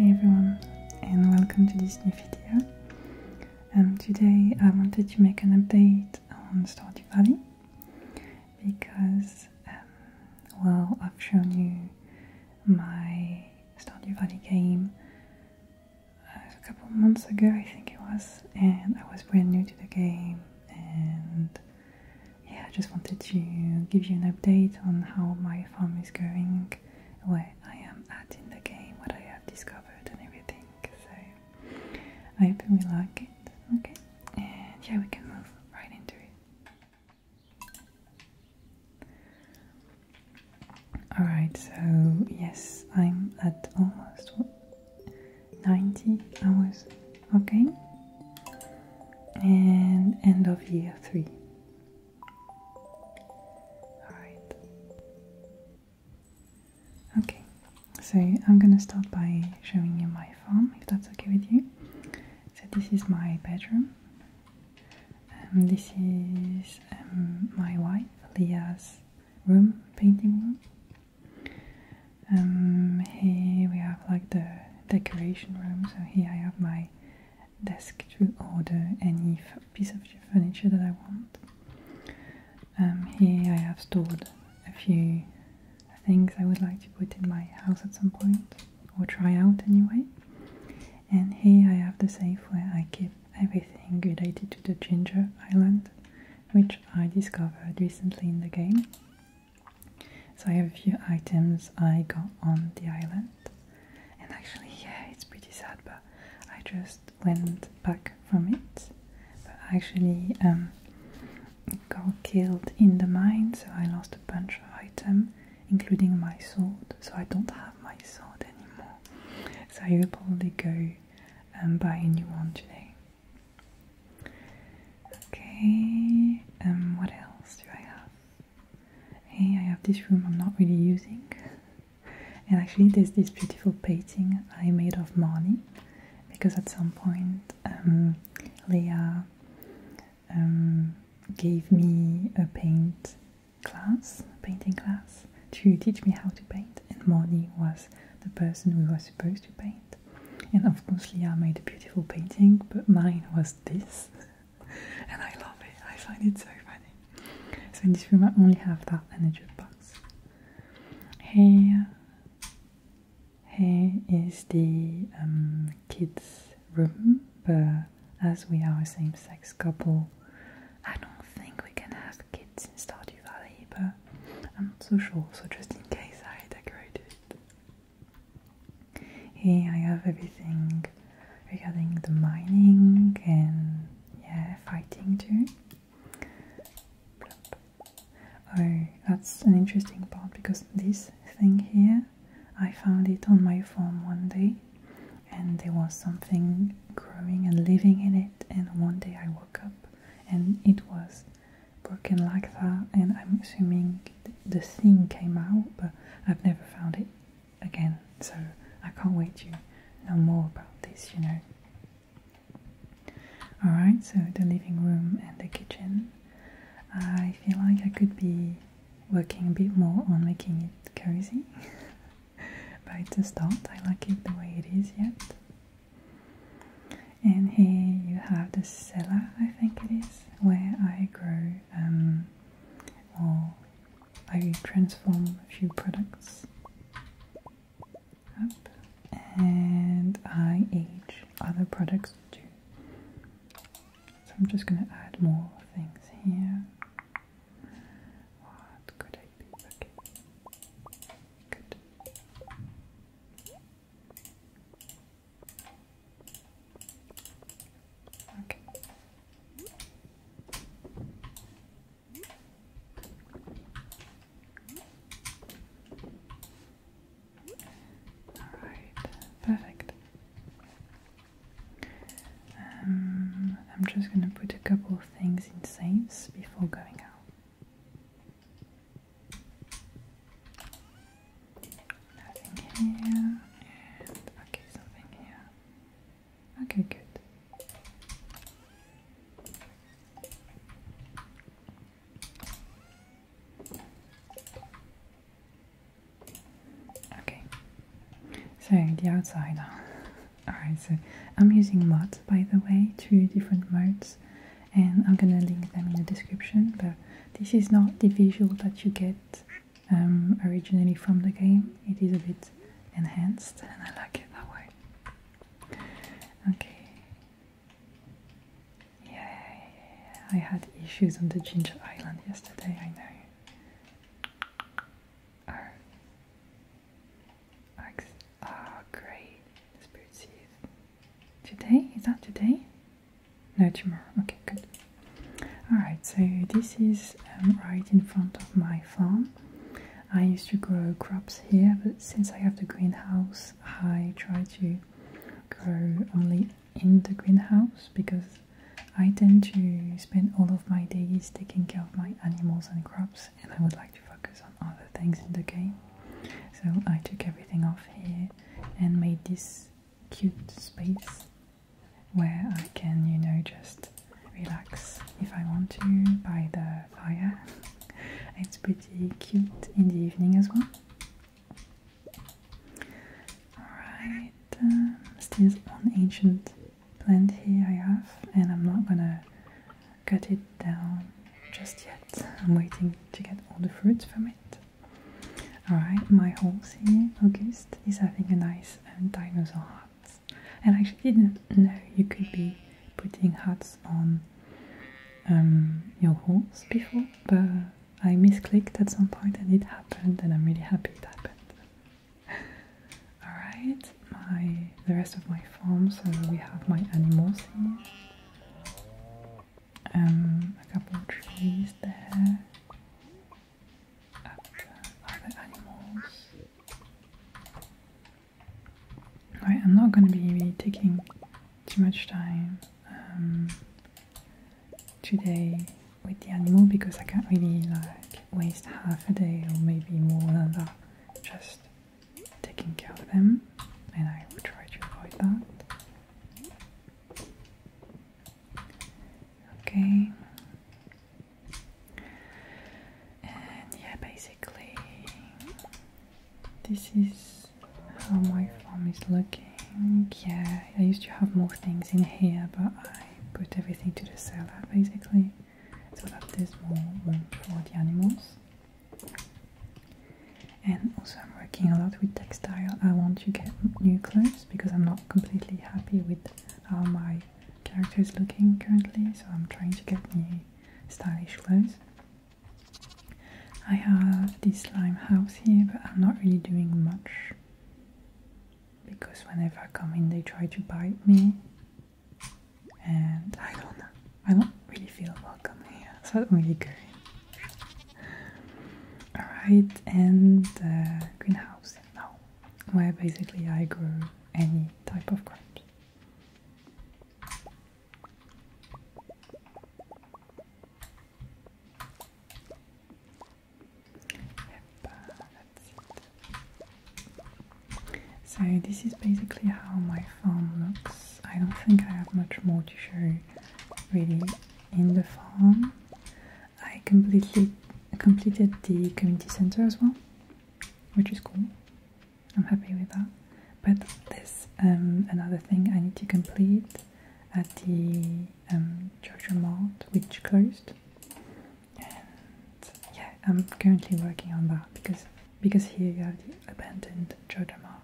Hey everyone and welcome to this new video. Um, today I wanted to make an update on Stardew Valley because, um, well, I've shown you my Stardew Valley game uh, a couple months ago, I think it was, and I was brand new to the game, and yeah, I just wanted to give you an update on how my farm is going, where I am at in the game, what I have discovered, and everything. So I hope we will like it. Okay, and yeah, we can move right into it. Alright, so yes, I'm at almost 90 hours. Okay, and end of year three. Alright. Okay, so I'm gonna start by showing you my farm, if that's okay with you. So this is my bedroom. Um, this is um, my wife, Leah's room, painting room. Um, here we have like the decoration room, so here I have my desk to order any piece of furniture that I want. Um, here I have stored a few things I would like to put in my house at some point, or try out anyway. And here I have the safe where I keep everything related to the Ginger Island, which I discovered recently in the game. So I have a few items I got on the island. And actually, yeah, it's pretty sad, but I just went back from it. But actually, um, got killed in the mine, so I lost a bunch of items, including my sword. So I don't have my sword anymore. So I will probably go and um, buy a new one today. Okay, um, what else do I have? Hey, I have this room I'm not really using. And actually, there's this beautiful painting I made of Marnie because at some point um, Leah um, gave me a paint class, a painting class, to teach me how to paint, and Moni was the person who was supposed to paint. And of course, Leah made a beautiful painting, but mine was this, and I love it. I find it so funny. So in this room, I only have that and a jukebox. Hey, here is the um, kids' room, but as we are a same sex couple, I don't think we can have kids in Stardew Valley, but I'm not so sure, so just in case I decorate it. Here I have everything regarding the mining and yeah, fighting too. Oh, that's an interesting part because this thing here, I found it on my phone one day and there was something growing and living in it and one day I woke up and it was broken like that and I'm assuming the thing came out but I've never found it again so I can't wait to know more about this, you know. Alright, so the living room and the kitchen. I feel like I could be working a bit more on making it cozy, but it's a start. I like it the way it is yet. And here you have the cellar, I think it is, where I grow um, or I transform a few products and I age other products too. So I'm just gonna add more things here. What could I do? Okay. Good. Okay. Alright, perfect. Um, I'm just gonna put a couple of things in safe before going out. Nothing here, and okay, something here. Okay, good. Okay, so the outside. Alright, so I'm using mods by the way, two different modes, and I'm gonna link them in the description. But this is not the visual that you get um, originally from the game, it is a bit enhanced, and I like it that way. Okay, yeah, I had issues on the Ginger Island yesterday, I know. Our Ah, great. The spirit Today? Is that today? No, tomorrow. Okay, good. Alright, so this is um, right in front of my farm. I used to grow crops here, but since I have the greenhouse, I try to grow only in the greenhouse because I tend to spend all of my days taking care of my animals and crops, and I would like to focus on other things in the game. So I took everything off here and made this cute space where I can, you know, just relax if I want to by the fire. It's pretty cute in the evening as well. Alright, um, still one ancient plant here I have, and I'm not gonna cut it down just yet. I'm waiting to get all the fruits from it. Alright, my whole here, August, is having a nice um, dinosaur heart. And I actually didn't know you could be putting hats on um, your horse before, but I misclicked at some point and it happened, and I'm really happy it happened. Alright, my the rest of my farm. so we have my animals here. Um, a couple of trees there. Up, other animals. I'm not going to be taking too much time um, today with the animal because I can't really like waste half a day or maybe more than that just taking care of them and I will try to avoid that. Okay. And yeah, basically this is how my farm is looking. Yeah, I used to have more things in here, but I put everything to the cellar basically so that there's more room for the animals. And also, I'm working a lot with textile. I want to get new clothes because I'm not completely happy with how my character is looking currently, so I'm trying to get new stylish clothes. I have this house here, but I'm not really doing much because whenever I come in, they try to bite me, and I don't know. I don't really feel welcome here, so I don't really go in. Alright, and the uh, greenhouse now, where basically I grow any type of crops. So this is basically how my farm looks. I don't think I have much more to show really in the farm. I completely completed the community center as well, which is cool. I'm happy with that. But there's um, another thing I need to complete at the um, Georgia Mart, which closed. And yeah, I'm currently working on that because because here you have the abandoned Georgia Mart.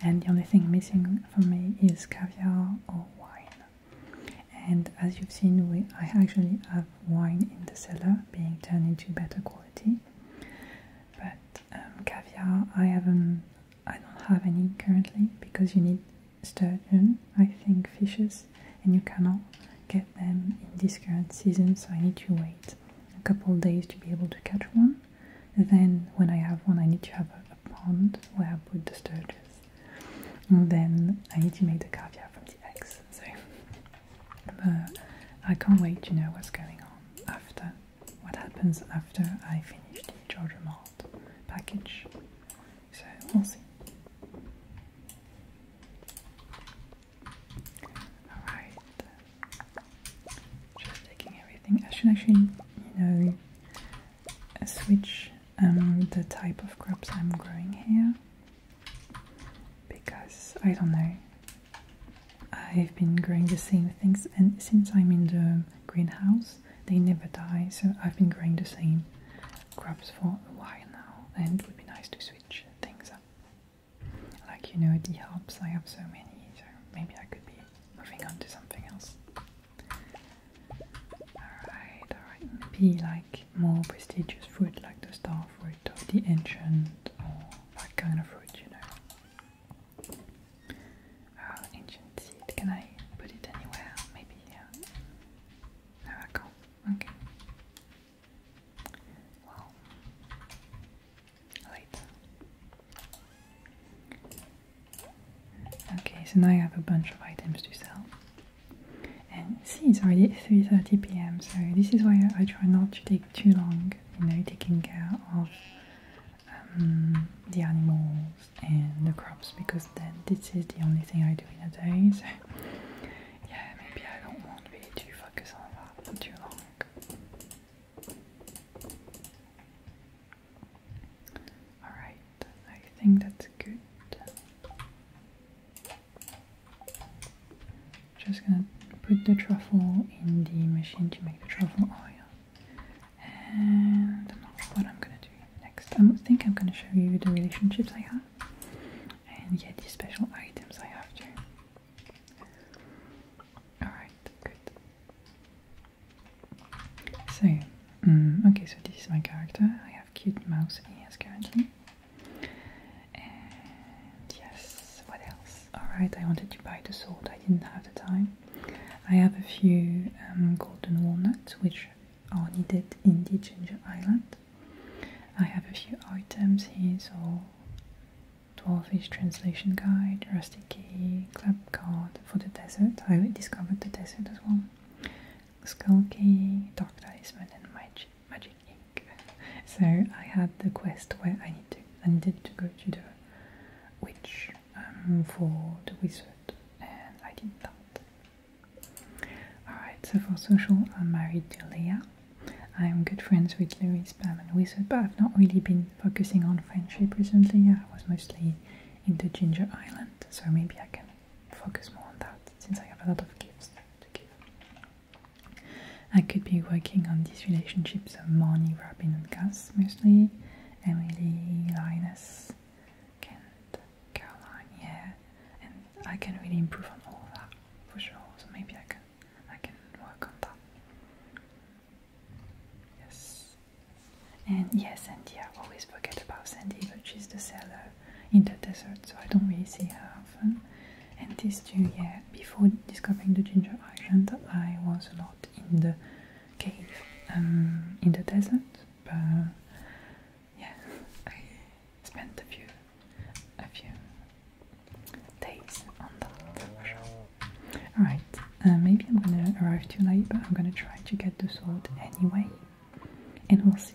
And the only thing missing for me is caviar or wine. And as you've seen, we I actually have wine in the cellar being turned into better quality. But um, caviar, I haven't, I don't have any currently because you need sturgeon, I think, fishes, and you cannot get them in this current season. So I need to wait a couple days to be able to catch one. then when I have one, I need to have a, a pond where I put the sturgeons. And then I need to make the caviar from the eggs. So, but I can't wait to know what's going on after what happens after I finish the Georgia Malt package. So we'll see. Alright. Just taking everything. I should actually, you know, uh, switch um, the type of crops I'm growing here because I don't know. I've been growing the same things, and since I'm in the greenhouse, they never die, so I've been growing the same crops for a while now, and it would be nice to switch things up. Like you know, the herbs, I have so many, so maybe I could be moving on to something else. Alright, alright, maybe like more prestigious fruit like the star fruit or the ancient or that kind of fruit, you know. Oh, ancient seed. Can I put it anywhere? Maybe here. There ah, Okay. Well, later. Okay, so now I have a bunch of items to sell. And see, it's already 3.30 pm, so this is why I try not to take too long, you know, taking care of um, the animals and the crops because then this is the only thing I do in a day. So yeah, maybe I don't want to be too focused on that for too long. Alright, I think that's good. Just gonna put the truffle in the machine to make the truffle oil. And i what I'm gonna do next. I think I'm gonna show you the relationships I have and yeah, the special items I have too. Alright, good. So, mm, okay, so this is my character. I have cute mouse ears currently. And yes, what else? Alright, I wanted to buy the sword, I didn't have the time. I have a few um, golden walnuts which are needed in the Ginger Island. I have a few items here, so 12-ish translation guide, rusty key, club card for the desert. I discovered the desert as well. Skull key, dark talisman, and magic ink. So I had the quest where I I needed to go to the which um, for the wizard, and I did that. Alright, so for social, I'm married to Leah. I'm good friends with Louis, Spam, and Wizard, but I've not really been focusing on friendship recently. I was mostly into Ginger Island, so maybe I can focus more on that since I have a lot of gifts to give. I could be working on these relationships of Marnie, Robin, and Gus mostly Emily, Linus, Kent, Caroline, yeah, and I can really improve on all that for sure, so maybe I can, I can work on that. Yes, and yes, Sandy, I always forget about Sandy, but she's the seller in the desert, so I don't really see her often. And these two, yeah, before discovering the Ginger Island, I was not in the cave um, in the desert, but yeah, I spent a few, a few days on that. Sure. Alright, uh, maybe I'm gonna arrive too late, but I'm gonna try to get the sword anyway, and we'll see.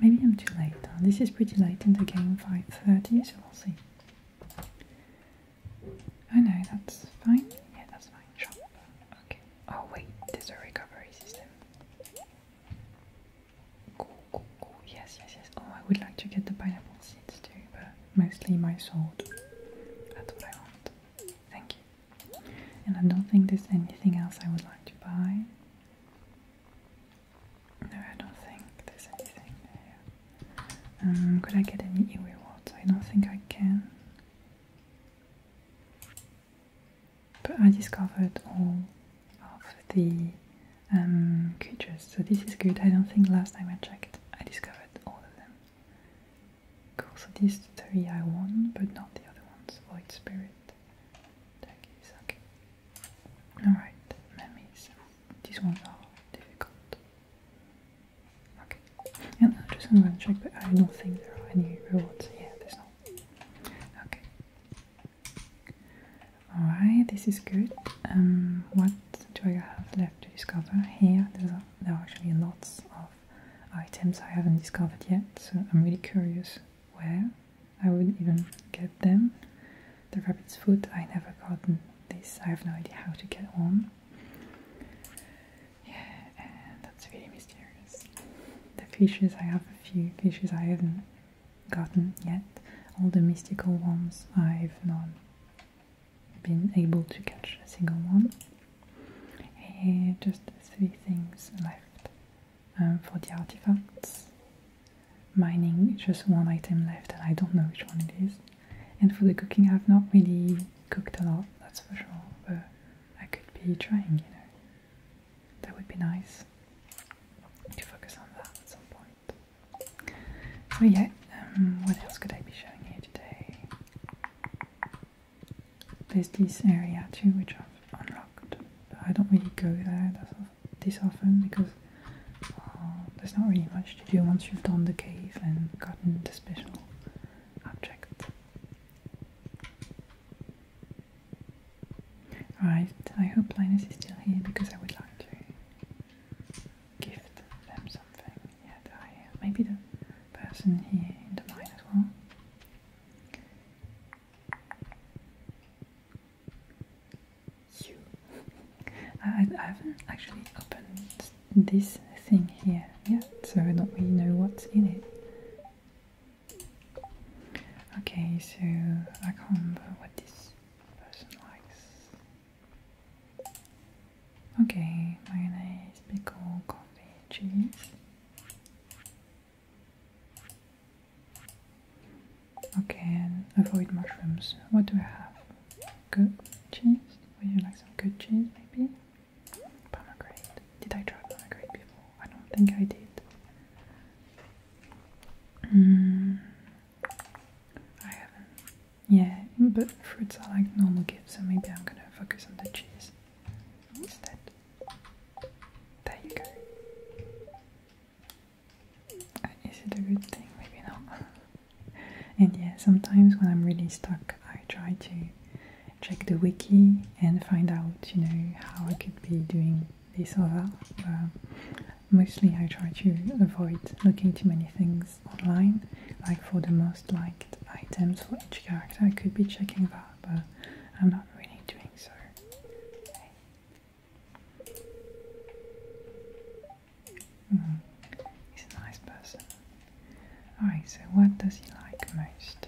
Maybe I'm too late. This is pretty late in the game, 5.30, so we'll see. I know that's fine. Yeah, that's fine. Okay. Oh wait, there's a recovery system. Yes, yes, yes. Oh, I would like to get the pineapple seeds too, but mostly my sword. That's what I want. Thank you. And I don't think there's anything else I would like to buy. No, I don't think there's anything um, could I get any Ewe I don't think I can. But I discovered all of the um, creatures, so this is good. I don't think last time I checked I discovered all of them. Cool, so these three I won, but not the other ones. Void Spirit. Tacky, sucky. Alright, memories. These ones are difficult. Okay, and i just gonna check, but I don't think there are any rewards. Yeah, there's not. Okay. Alright, this is good. Um, what do I have left to discover? Here, there are actually lots of items I haven't discovered yet, so I'm really curious where I wouldn't even get them. The rabbit's foot, I never gotten this, I have no idea how to get one. Yeah, that's really mysterious. The fishes, I have a few fishes I haven't gotten yet. All the mystical ones, I've not been able to catch a single one. just three things left uh, for the artifacts. Mining, just one item left and I don't know which one it is. And for the cooking, I've not really cooked a lot, that's for sure, but I could be trying, you know. That would be nice to focus on that at some point. So yeah, um, what else could I be showing you today? There's this area too, which I've unlocked. I don't really go there this often because uh, there's not really much to do once you've done the cave and gotten the special object. Alright, I hope Linus is still here because I would like to give them something. Yeah, maybe the person here in the mine as well. You. I, haven't actually opened this thing here yet, so I don't really know what's in it. Okay, so I can't remember what this person likes. Okay, mayonnaise, pickle, coffee, cheese. Okay, avoid mushrooms. What do we have? Good cheese? Would you like some good cheese, maybe? Pomegranate. Did I try pomegranate before? I don't think I did. Mm, I haven't. Yeah, but fruits are like normal gifts, so maybe I'm gonna focus on the cheese instead. There you go. Uh, is it a good thing? Maybe not. and yeah, sometimes when I'm really stuck, I try to check the wiki and find out, you know, how I could be doing this or that. mostly I try to avoid looking too many things online, like for the most liked items for each character, I could be checking that, but I'm not really doing so. Mm-hmm. he's a nice person. Alright, so what does he like most?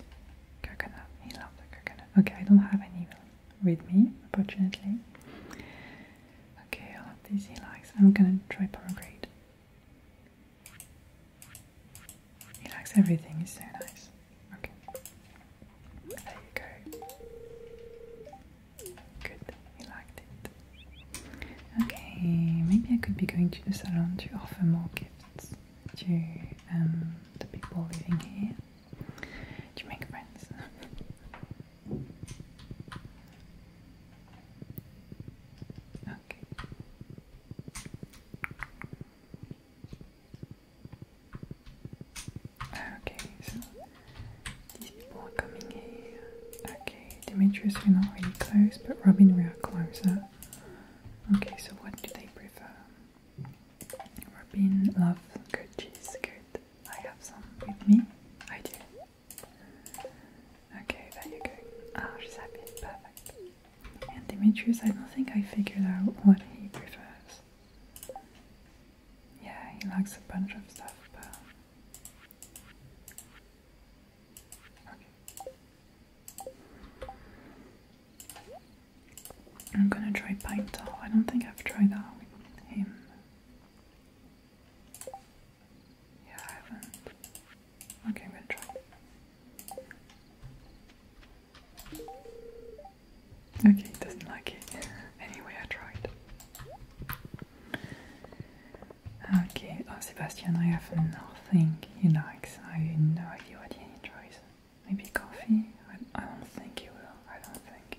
Coconut. He loves the coconut. Okay, I don't have any with me, unfortunately. Okay, all of these he likes. I'm gonna try pomegranate. He likes everything, he's so nice. Okay. There you go. Good, you liked it. Okay, maybe I could be going to the salon to offer more gifts to um, the people living here. To make friends. okay. Ah, okay, so these people are coming here. Okay, Demetrius, we not really close, but Robin, we closer. Okay, so what do they prefer? Robin, love, good cheese, good. I have some with me. I do. Okay, there you go. Ah, she's happy. Perfect. And Demetrius, I don't think I figured out what he prefers. Yeah, he likes a bunch of stuff, but. Okay. I'm gonna try Pine Tall. I don't think I've tried that with him. Yeah, I haven't. Okay, I'm gonna try. Okay, it doesn't like it. anyway, I tried. Okay, oh Sebastian, I have nothing he likes. I have no idea what he enjoys. Maybe coffee? I, don't think he will. I don't think.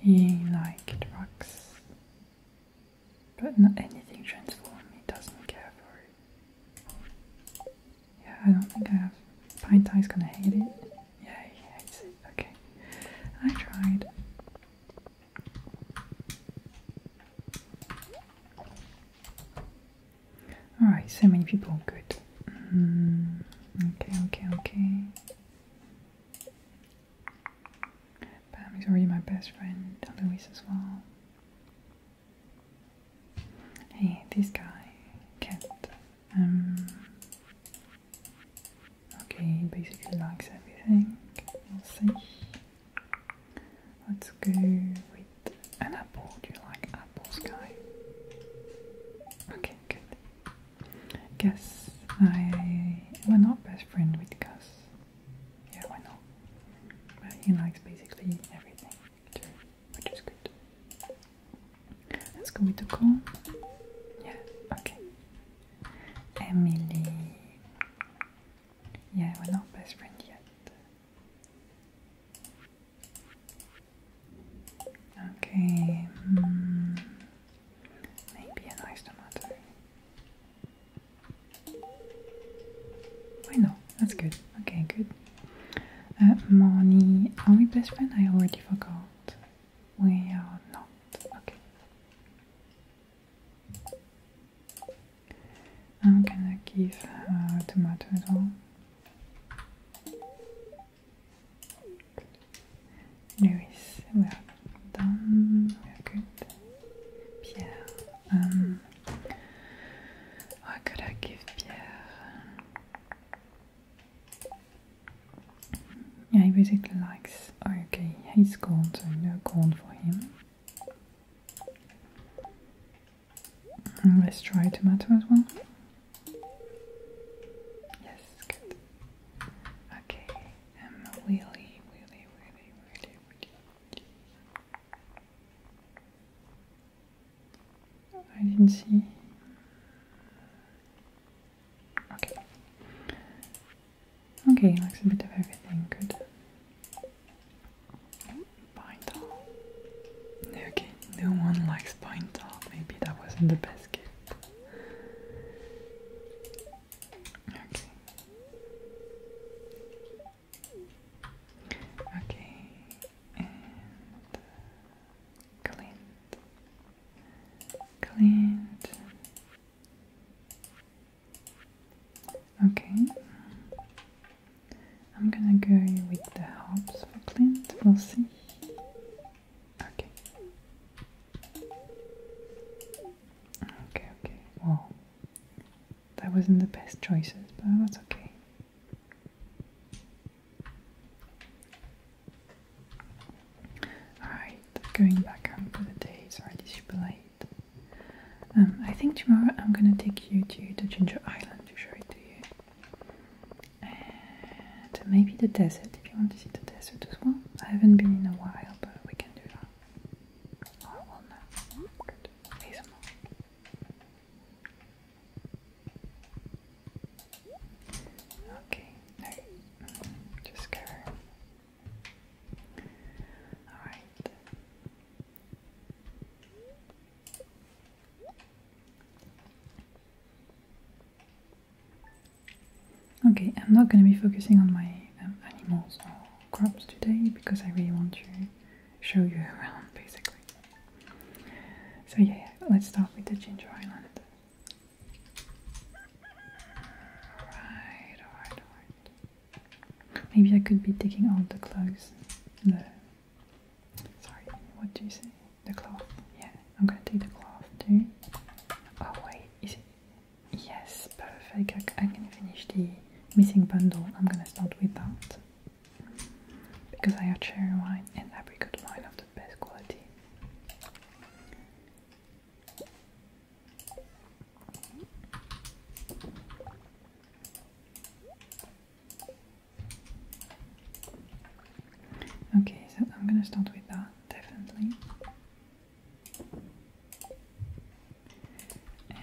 He liked drugs. But not anything transform, me. doesn't care for it. Yeah, I don't think I have. Pine Tie's gonna hate it. Yeah, he hates it. Okay. I tried. Alright, so many people, good. Mm, okay, okay, okay. Pam is already my best friend, Louise as well. Hey, this guy can't. Um, okay, basically likes everything. We'll see. Let's go with an apple. Do you like apples, guy? Okay, good. Guess I. We're not best friend with Gus yeah, I know. But he likes basically everything, too, which is good. Let's go with Yeah, okay. Emily. Yeah, we're not best friends yet. Okay, hmm. maybe a nice tomato. I know That's good. Okay, good. Uh, money. Are we best friend? I already forgot. We are not. Okay. I'm gonna give her uh, tomato as well. Lewis, we are done. good. Pierre. Um, what could I give Pierre? Yeah, he basically likes. okay, he hates corn, so no corn for him. Mm, let's try tomato as well. Yes, good. Okay, I'm really, really, really, really, really. I didn't see. Okay. Okay, likes a bit of everything. Good. Pine Okay, no one likes pine Maybe that wasn't the best gift. Okay. Okay, Clint, Clint. Okay, I'm gonna go with the hops for Clint. We'll see. Okay. Okay, okay, well, that wasn't the best choices, but that's okay. Alright, going back home the day. Sorry, it's super late. Um, I think tomorrow I'm gonna take you to the Ginger Island to show it to you. And maybe the desert if you want to see the desert as well. I haven't been in a while, but we can do that. Okay, no, just go. Alright. Okay, I'm not going to be focusing on my um, animals or crops today because I really want to show you around basically. So yeah, let's start with the Ginger Island. Alright, alright, alright. Maybe I could be taking all the clothes. The sorry, what do you say? The cloth. Yeah, I'm gonna take the cloth too. Oh wait, is it? Yes, perfect. I, am gonna finish the missing bundle. I'm gonna start with that because I have cherry wine and every good wine of the best quality. Okay, so I'm gonna start with that, definitely. And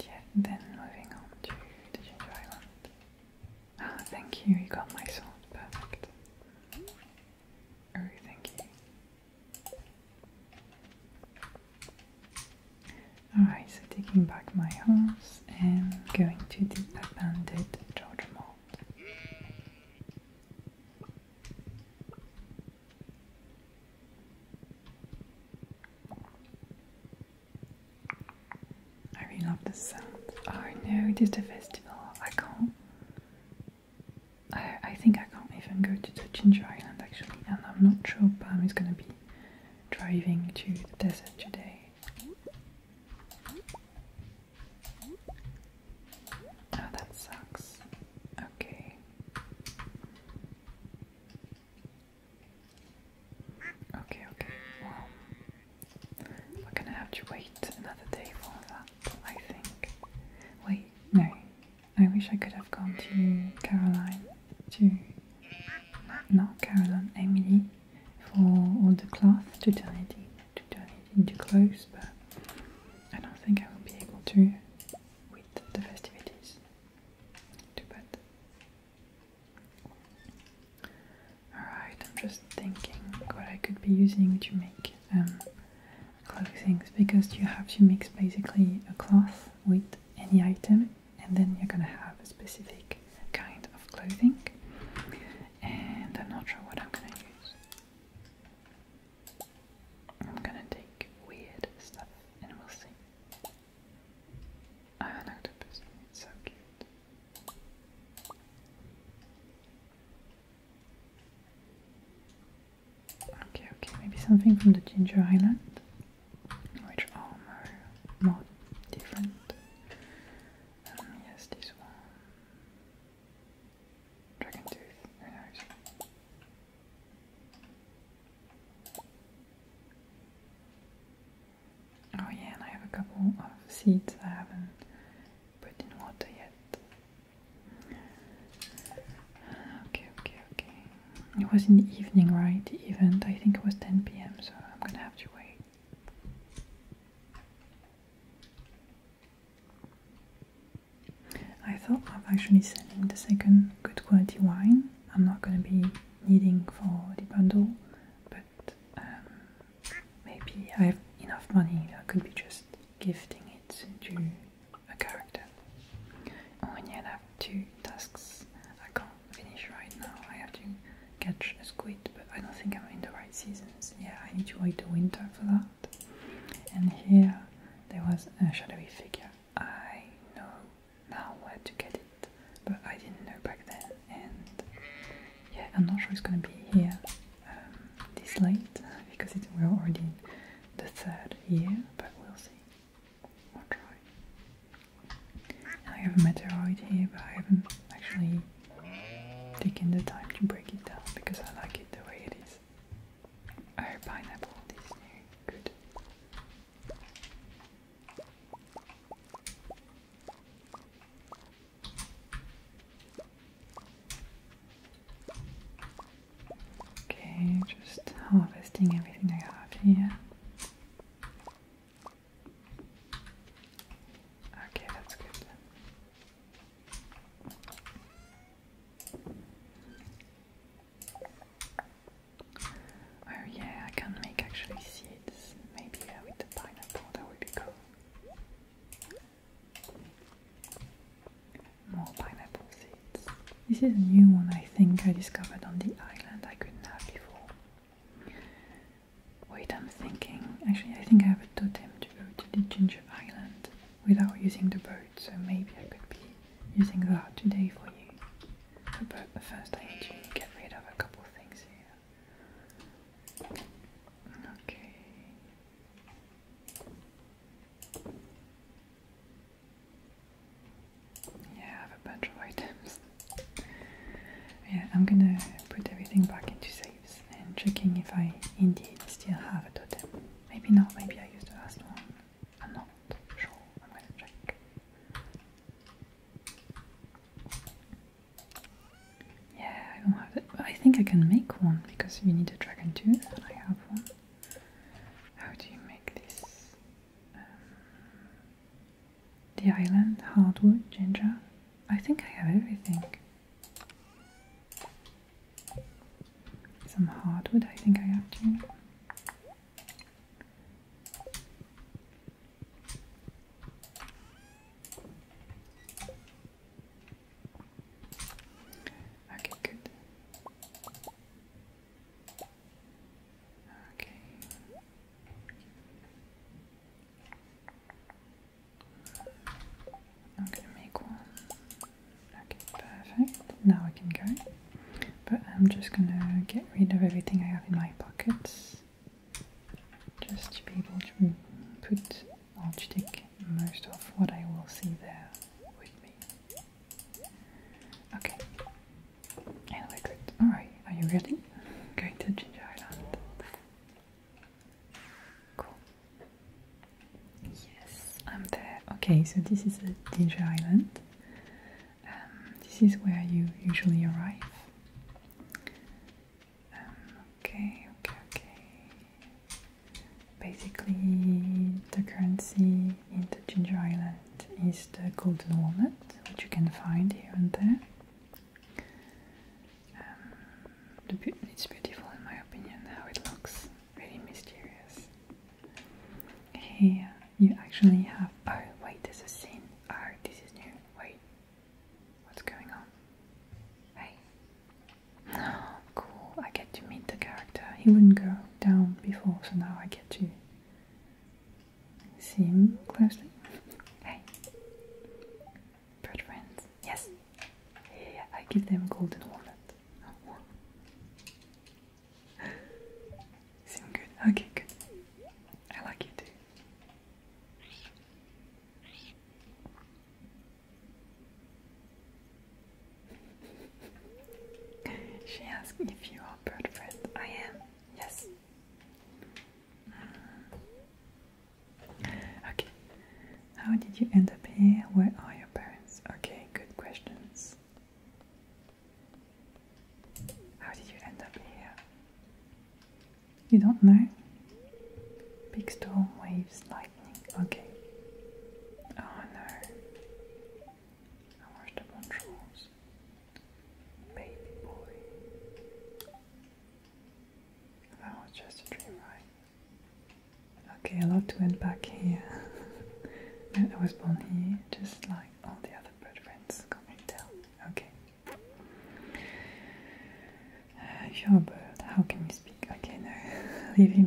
yeah, then moving on to the Island. Ah, thank you, you got my sword, perfect. Oh, thank you. Alright, so taking back my horse and going to the abandoned Georgia Mall. I really love the sound. Oh no, it is the festival. I can't. I, I think I can't even go to the Ginger Island actually, and I'm not sure Pam is gonna be driving to the desert today. Oh, that sucks. Okay. Okay, okay. Well, we're gonna have to wait another day for that, I think. Wait, no. I wish I could have gone to Caroline, to not Caroline, Emily, for all the cloth to turn it, in, to turn it into clothes, but I don't think I will be able to with the festivities. Too bad. Alright, I'm just thinking what I could be using to make um, clothings because you have to mix basically a cloth with any item and then you're gonna have a specific kind of clothing and I'm not sure what I'm gonna use. I'm gonna take weird stuff and we'll see. I'm an octopus. It's so cute. Okay, okay, maybe something from the Ginger Island, which are more, different. Um, yes, this one. Dragon Tooth, very nice. Oh yeah, and I have a couple of seeds I haven't put in water yet. Okay, okay, okay. It was in the evening, right? The event, I think it was 10 pm, so I'm gonna have to wait. I thought i of actually selling the second good quality wine. I'm not gonna be needing for the bundle, but um, maybe I have enough money I could be just gifting it to a character. Only I have two tasks I can't finish right now. I have to catch a squid, but I don't think I'm in the right seasons. Yeah, I need to wait the winter for that. And here there was a shadowy figure I know now where to get it, but I didn't know back then. And yeah, I'm not sure it's gonna be here um, this late because it, we're already in the third year, but we'll see. We'll try. I have a meteorite here, but I haven't actually taken the time to break it down because I like it the way it is. Oh, pineapple, this new, good. Okay, just harvesting everything I have here. Okay, that's good. Oh yeah, I can make actually seeds. Maybe with the pineapple, that would be cool. More pineapple seeds. This is a new one I think I discovered on the island I couldn't have before. Wait, I'm thinking. Actually, I think I have a totem to go to the Ginger Island without using the boat, so maybe I could be using that today for you. But first I need to get rid of a couple things here. Okay. Yeah, I have a bunch of items. Yeah, I'm gonna put everything back into saves and checking if I indeed still have a totem. Maybe not, maybe I used the last one. I'm not sure. I'm gonna check. Yeah, I don't have that. I think I can make one because you need a dragon tooth, I have one. How do you make this? Um, the island, hardwood, ginger. I think I have everything. Some hardwood, I think I have too. Okay, good. Okay. i make one. Okay, perfect. Now we can go. But I'm just gonna get rid of everything I have in my pockets just to be able to put on to take most of what I will see there with me. Okay, and we're Alright, are you ready? Going to Ginger Island. Cool. Yes, I'm there. Okay, so this is a Ginger Island. Um, this is where you usually arrive. Um, okay, okay, okay. Basically, the currency in the Ginger Island is the golden walnut, which you can find here and there. Um, it's beautiful, in my opinion, how it looks. Really mysterious. Here you actually have. Oh, wait, there's a sin. Oh, this is new. Wait, what's going on? Hey, cool. I get to meet the character. He wouldn't go down before, so now I get to see him closely. Hey, bird friends. Yes, yeah, I give them golden walnut. Seem good? Okay, good. I like you too. She asked if you are bird friend. I am. Yes. Uh, okay. How did you end up here? Where are your parents? Okay, good questions. How did you end up here? You don't know? Big storm, waves, lightning. Okay. Oh no. I watched the controls. Baby boy. That was just a dream, right? Okay, I love to end back here. I was born here, just like all the other bird friends. Come and tell. Okay. Uh, sure, how can you speak? Okay, no. leave him.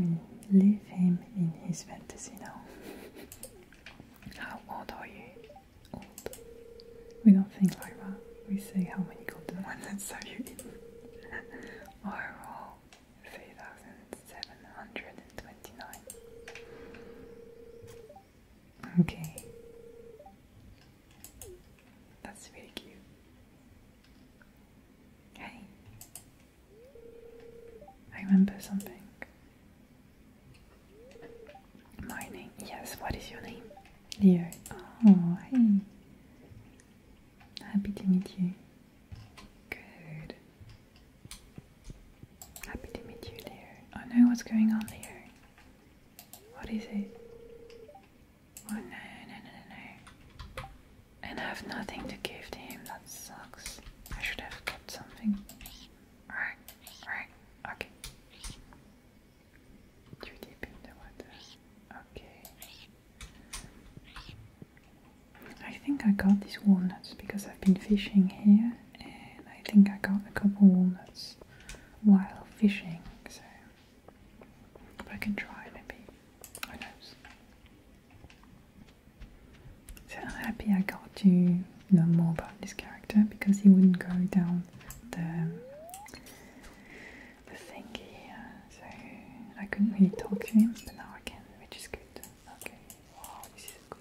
In, leave him in his fantasy now. how old are you? Old. We don't think like that. We say how many golden ones are you in? Overall, three thousand seven hundred and twenty-nine. Okay. That's really cute. Hey. I remember something. My name. Yes, what is your name? Leo. Oh, hey. Happy to meet you. Good. Happy to meet you, Leo. I know what's going on, Leo. What is it? Oh no, no, no, no, And I have nothing to give to him, that sucks. I should have got something. Alright, alright, okay. Too deep in the water. Okay. I think I got these walnuts because I've been fishing here and I think I got a couple walnuts while fishing, so I can try maybe. Who knows? So I'm happy I got to know more about this character because he wouldn't go down the the thing so I couldn't really talk to him, but now I can, which is good. Okay, wow, this is a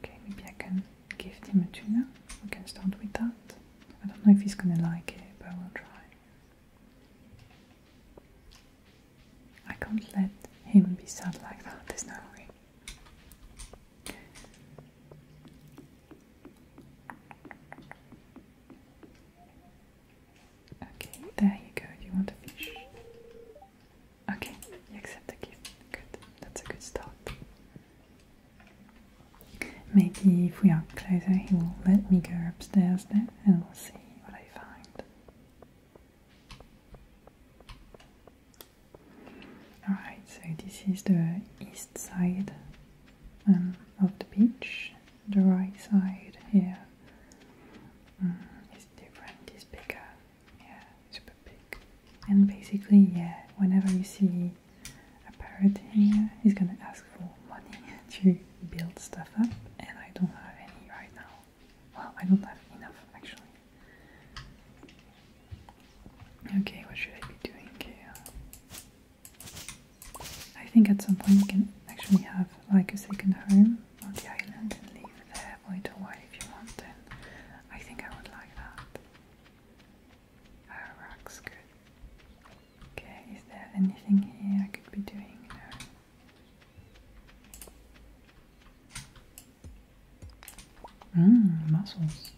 Okay, maybe I can give him a tuna. We can start with that. I don't know if he's gonna like it, but we'll try. I can't let him be sad like that, there's no way. Okay, there you go. You want a fish? Okay, you accept the gift. Good, that's a good start. Maybe if we are closer, he will let me go upstairs then and we'll see what I find. Alright, so this is the east side um, of the beach. The right side here mm, different, it's bigger, yeah, super big. And basically, yeah, whenever you see a parrot here, he's gonna ask for money to build stuff up, and I don't have any right now. Well, I don't have enough actually. Okay, what should I be doing here? I think at some point we can actually have like a second home on the island and leave there for it a while if you want then. I think I would like that. Our oh, rock's good. Okay, is there anything here I could be doing? Hmm, mussels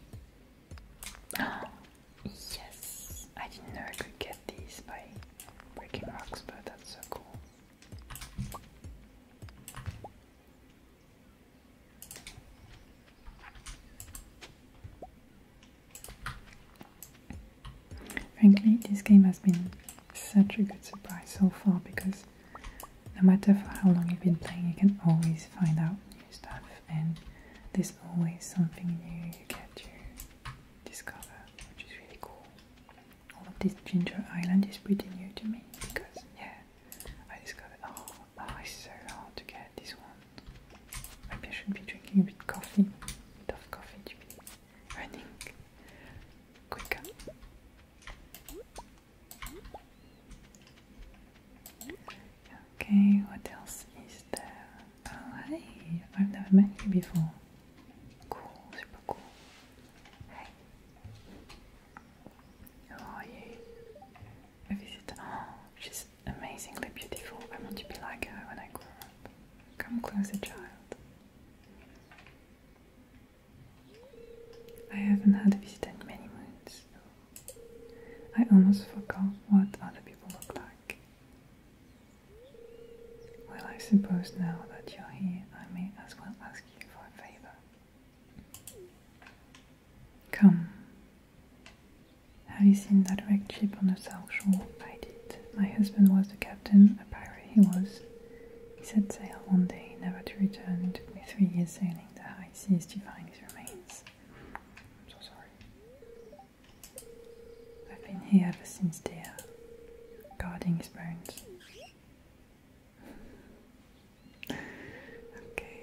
yes! I didn't know I could get these by breaking rocks, but that's so cool. Frankly, this game has been such a good surprise so far because no matter for how long you've been playing, you can always find out stuff and there's always something new you get to discover which is really cool. All of this Ginger Island is pretty new to me because yeah I discovered oh wow oh, it's so hard to get this one. Maybe I should be drinking a bit coffee, a bit of coffee to be running quicker. Okay, what else is there? Oh, hey, I've never met you before. Cool, super cool. Hey, how are you? A visitor. Oh, she's amazingly beautiful. I want to be like her when I grow up. Come closer, child. I haven't had a visitor in many months. I almost forgot what other people look like. Well, I suppose now that you're here, I may as well ask you for a favor. Come. Have you seen that wrecked ship on the South Shore? I did. My husband was the captain, a pirate he was. He set sail one day, never to return. It took me three years sailing the high seas to find his remains. I'm so sorry. I've been here ever since they guarding his bones. okay,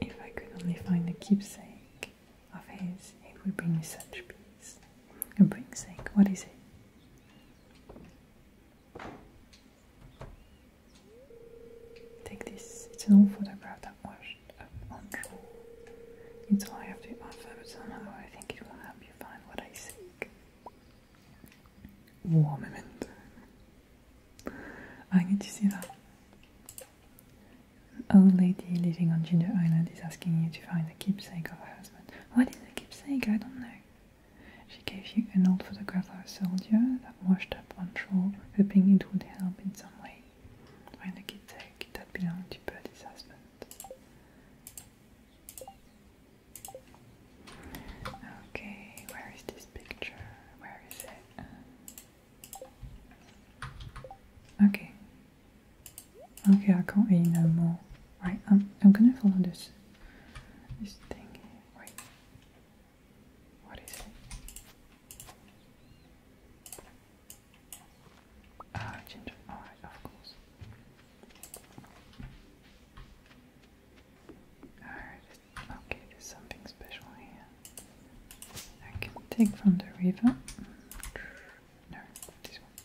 if I could only find a keepsake of his, it would bring me such peace. A keepsake? what is it? Take this, it's an old photograph washed up on shore. It's all I have to offer, but somehow I think it will help you find what I seek. War I need to see that. An old lady living on Ginger Island is asking you to find the keepsake of her husband. What is a keepsake? I don't know. She gave you an old photograph of a soldier that washed up on shore, hoping it would help in some way. When the kid take that belong to Bertie's husband. Okay, where is this picture? Where is it? Okay. Okay, I can't read no more. Right, I'm, I'm gonna follow this this thing. Wait. What is it? Ah, ginger. Alright, of course. Alright, okay, there's something special here. I can take from the river. No, this one.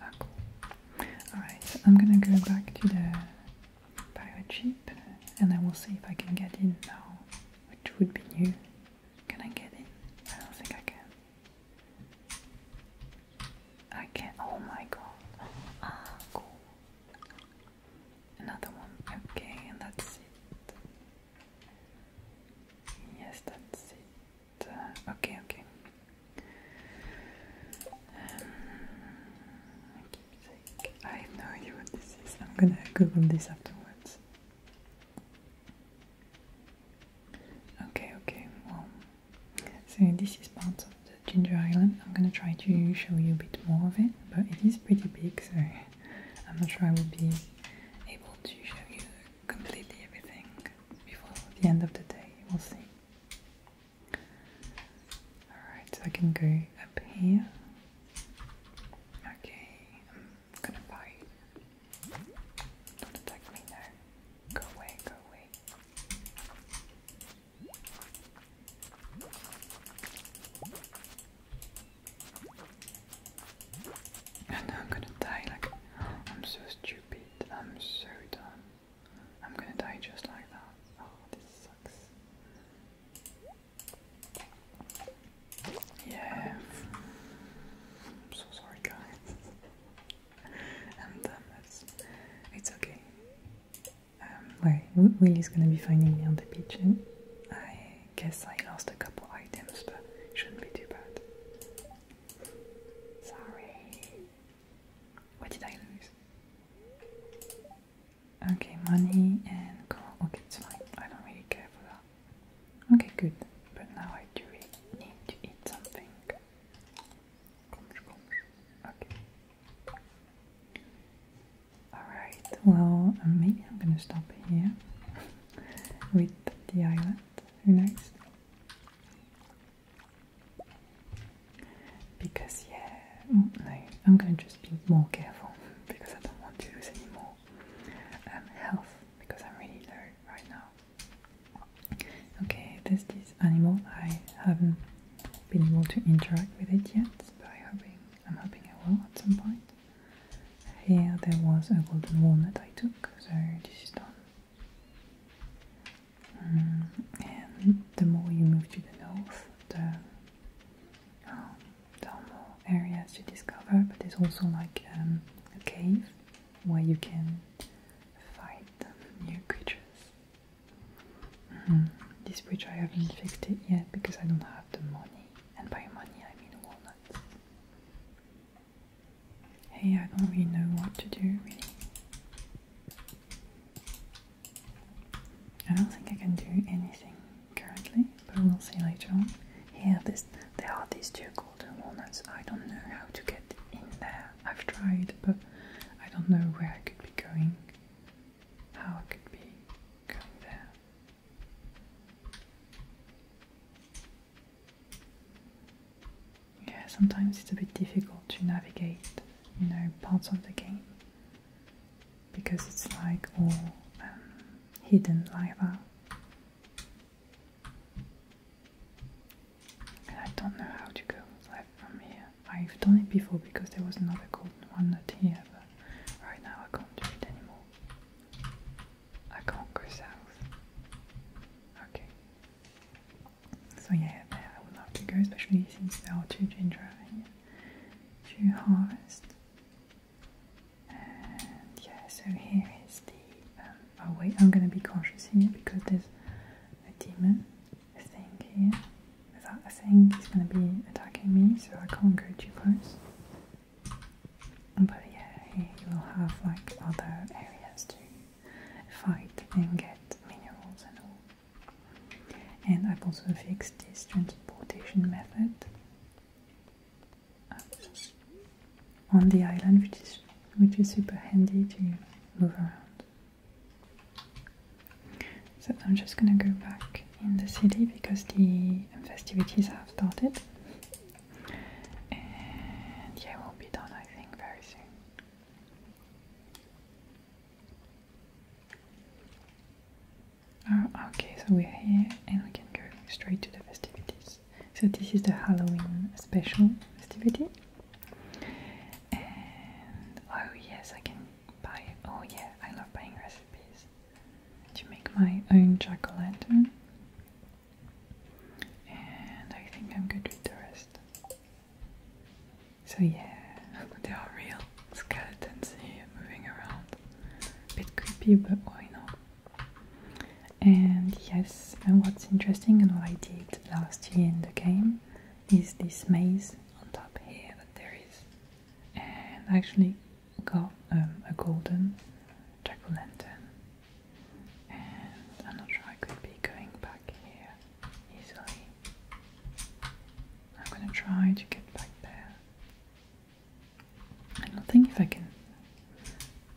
Ah, Alright, so I'm gonna go back to the biochip and I will see if I can get in now, which would be new. Can I get in? I don't think I can. I can. Oh my god. Ah, cool. Another one. Okay, that's it. Yes, that's it. Uh, okay, okay. Um, I have no idea what this is. I'm gonna Google this afterwards. Okay, okay, well. So this is part of the Ginger Island. I'm gonna try to show you a bit more of it, but it is pretty big, so I'm not sure I will be able to show you completely everything before the end of the day. We'll see. Alright, so I can go up here Okay, I'm gonna buy. Don't attack me now. Go away, go away. And I'm gonna die like I'm so stupid. I'm so done. I'm gonna die just like that. Oh, this sucks. Yeah. I'm so sorry, guys. i um, It's, it's okay. Um, wait, Willie's gonna be finding me on the beach. And hmm? I guess I lost a couple items, but it shouldn't be too bad. Sorry. What did I lose? Okay, money and gold. Okay, it's fine. I don't really care for that. Okay, good. But now I do need to eat something. Okay. Alright, well, maybe um, I'm gonna stop here with the island. Who knows? Because, yeah, oh, no, I'm gonna just just be more careful because I don't want to lose any more um, health because I'm really tired right now. Okay, this is animal. I haven't been able to interact with it yet, but I hoping, I'm hoping I will at some point. Here there was a golden walnut I took, so this is done. Um, and the more you move to the north, the oh, more areas to discover, but there's also like um, a cave where you can fight new creatures. Mm-hmm. This bridge I haven't fixed it yet because I don't have the money, and by money I mean walnuts. Hey, I don't really know what to do, really. I don't think I can do anything currently, but we'll see later on. Here, this, there are these two golden walnuts. I don't know how to get in there. I've tried, but I don't know where I could be going. How I could be going there. Yeah, sometimes it's a bit difficult to navigate, you know, parts of the game because it's like all um, hidden like that. And I don't know how to go from here. I've done it before because there was another golden one not here, but right now I can't do it anymore. I can't go south. Okay. So yeah, there I would love to go, especially since there are two ginger here to harvest yeah, so here is the. Um, oh wait, I'm gonna be conscious here because there's a demon thing here. That thing is gonna be attacking me, so I can't go too close. But yeah, you will have like other areas to fight and get minerals and all. And I've also fixed this transportation method on the island, which is which is super handy to move around. So I'm just gonna go back in the city because the festivities have started. And yeah, we'll be done I think very soon. Ah, okay, so we're here and we can go straight to the festivities. So this is the Halloween special festivity. And oh yes, I can buy. Oh yeah, I love buying recipes to make my own lantern. And I think I'm good with the rest. So yeah, there are real skeletons here moving around bit creepy, but why know. And yes, and what's interesting and what I did last year in the game is this maze on top here that there is. And actually got um, a golden jack-o'-lantern. And I'm not sure I could be going back here easily. I'm gonna try to get back there. I don't think if I can.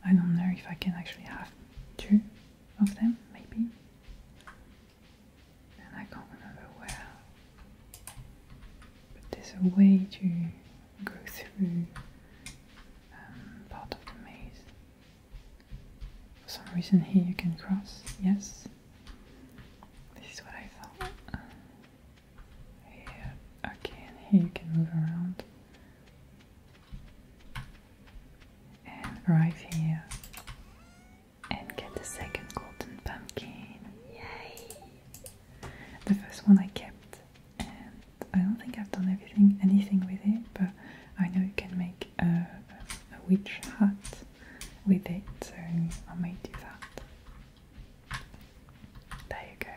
I don't know if I can actually have two of them, maybe. And I can't remember where. But there's a way to go through um, part of the maze. For some reason, here you can cross, yes. This is what I thought. Yeah, okay, here you can move around. And arrive here and get the second golden pumpkin. Yay! The first one I kept, and I don't think I've done everything, anything with it, but I know you can make a, witch hat with it, so I might do that. There you go.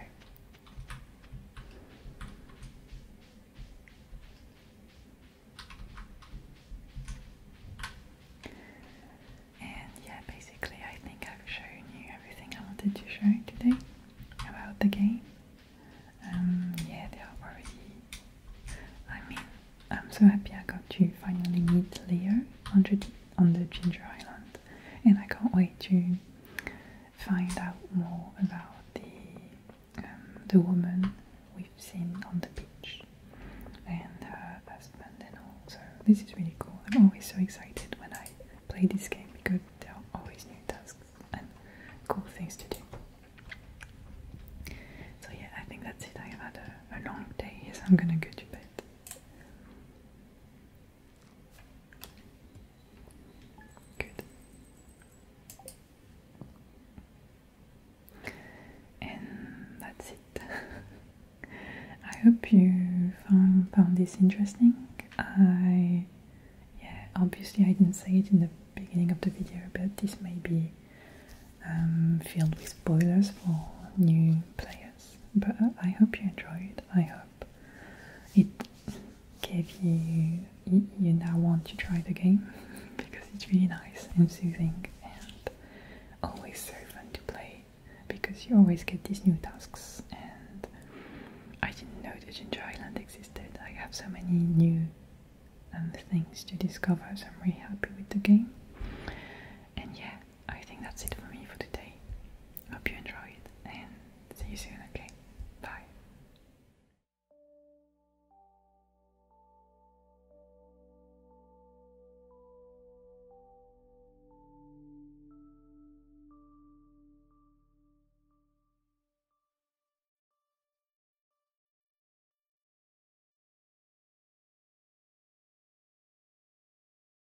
And yeah, basically, I think I've shown you everything I wanted to show you today about the game. Um, yeah, they are already. I mean, I'm so happy I got to finally meet Leo on on the Ginger Island, and I can't wait to find out more about the um, the woman we've seen on the beach and her husband and all. So this is really cool. I'm always so excited when I play this game because there are always new tasks and cool things to do. So yeah, I think that's it. I've had a long day, so I'm gonna go to bed. And that's it. I hope you found, found this interesting. I yeah, obviously I didn't say it in the beginning of the video, but this may be um, filled with spoilers for new players. But I hope you enjoyed. I hope it gave you. You now want to try the game because it's really nice and soothing and always so fun to play because you always get these new tasks. And I didn't know that Ginger Island existed. I have so many new um, things to discover, so I'm really happy with the game. And yeah, I think that's it for me for today. Hope you enjoyed and see you soon, okay? Bye.